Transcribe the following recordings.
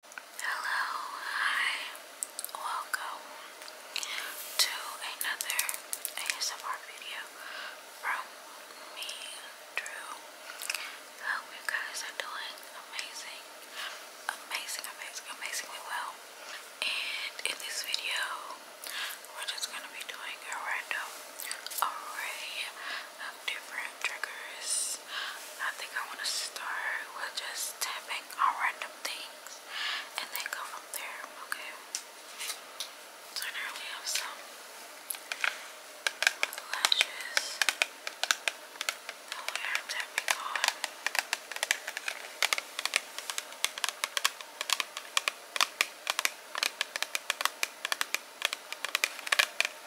Hello, hi, welcome to another ASMR video from me, Drew. Hope you guys are doing amazing, amazing, amazing, amazingly well. And in this video, we're just gonna be doing a random array of different triggers I think I want to start with just tapping on random things and then go from there, okay? So now we have some lashes that we are tapping on.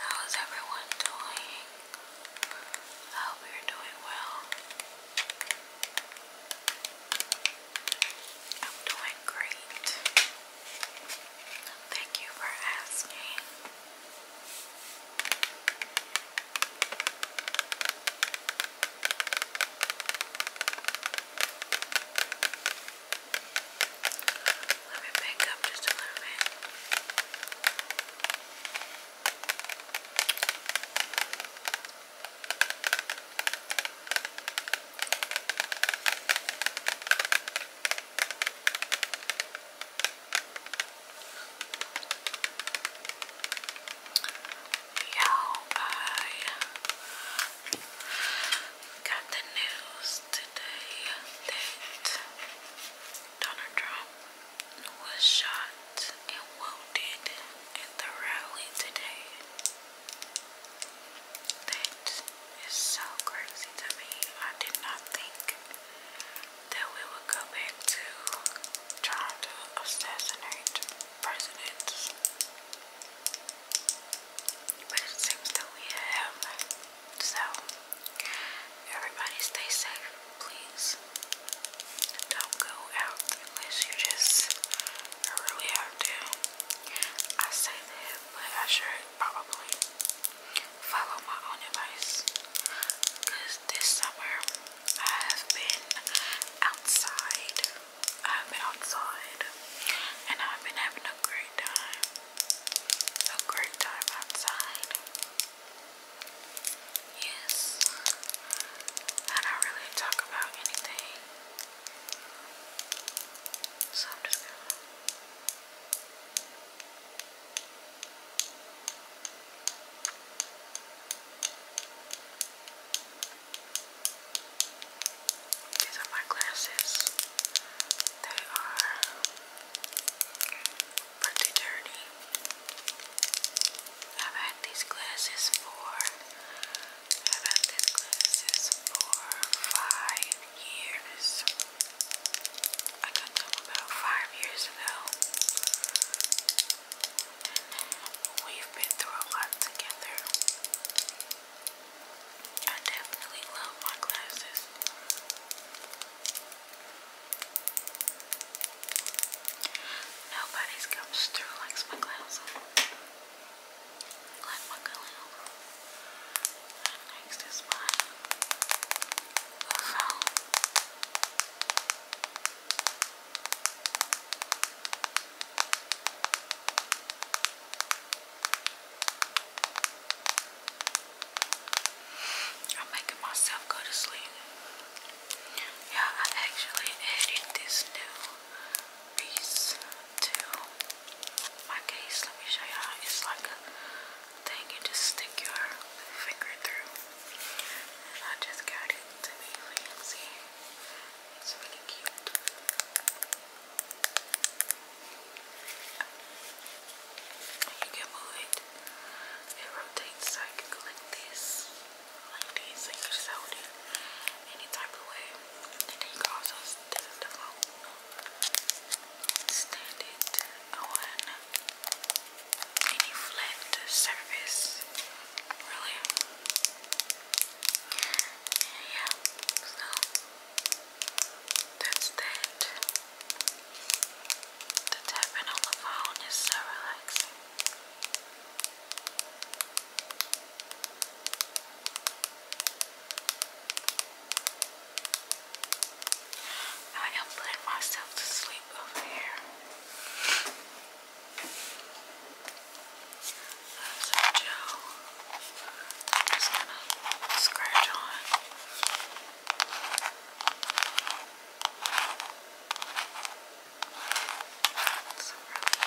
How's everyone doing? I hope you're doing well. I'm doing great. Thank you for asking. Let me pick up just a little bit. Yo, I got the news today that Donald Trump was shot and wounded at the rally today. That is so crazy to me. I did not think that we would go back to trying to assassinate presidents. But it seems that we have. So, everybody stay safe, please. Don't go out unless you just really have to. I say that, but I should probably follow my own advice. this summer I have been outside. I've been outside and I've been having a great time. A great time outside. Yes, I don't really talk about anything, so I'm just gonna. These are my glasses. They are pretty dirty. I've had these glasses for I've had these glasses for five years. I got them about five years ago. we've been through a lot together. I definitely love my glasses. Nobody's comes through likes my classes. Like my clown. Next is my phone. I'm making myself go to sleep. Yeah, I actually added this new piece to my case. Let me show you how it's like a thing you just stick your finger through. I just got it to be fancy. It's really cute. You can move it. It rotates so I like this, like this, you any type of way. And can also, this is Stand it on any flat surface, really. Yeah, so that's that. The tapping on the phone is so relaxing. I am putting myself to sleep over here. That's a joke. Just gonna scratch on. It's a really, really nice gel. It's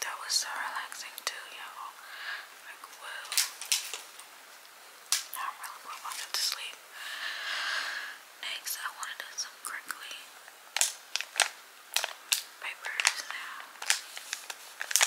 that was so relaxing too, y'all. Like, whoa. I'm really well wanted to sleep. Next, I want to do some crinkly papers now. Crinkle.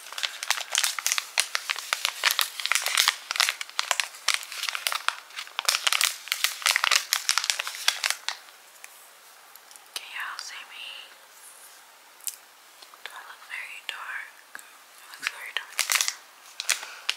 Can y'all see me? Do I look very dark? It looks very dark. Okay,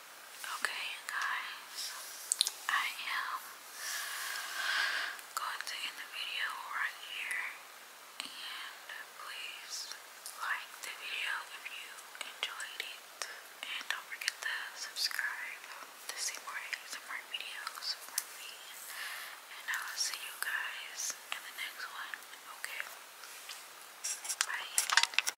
Okay, guys, I am going to end the video right here. And please like the video if you enjoyed it. And don't forget to subscribe to see more ASMR videos from me. And I will see you guys in the next one. Okay? Bye.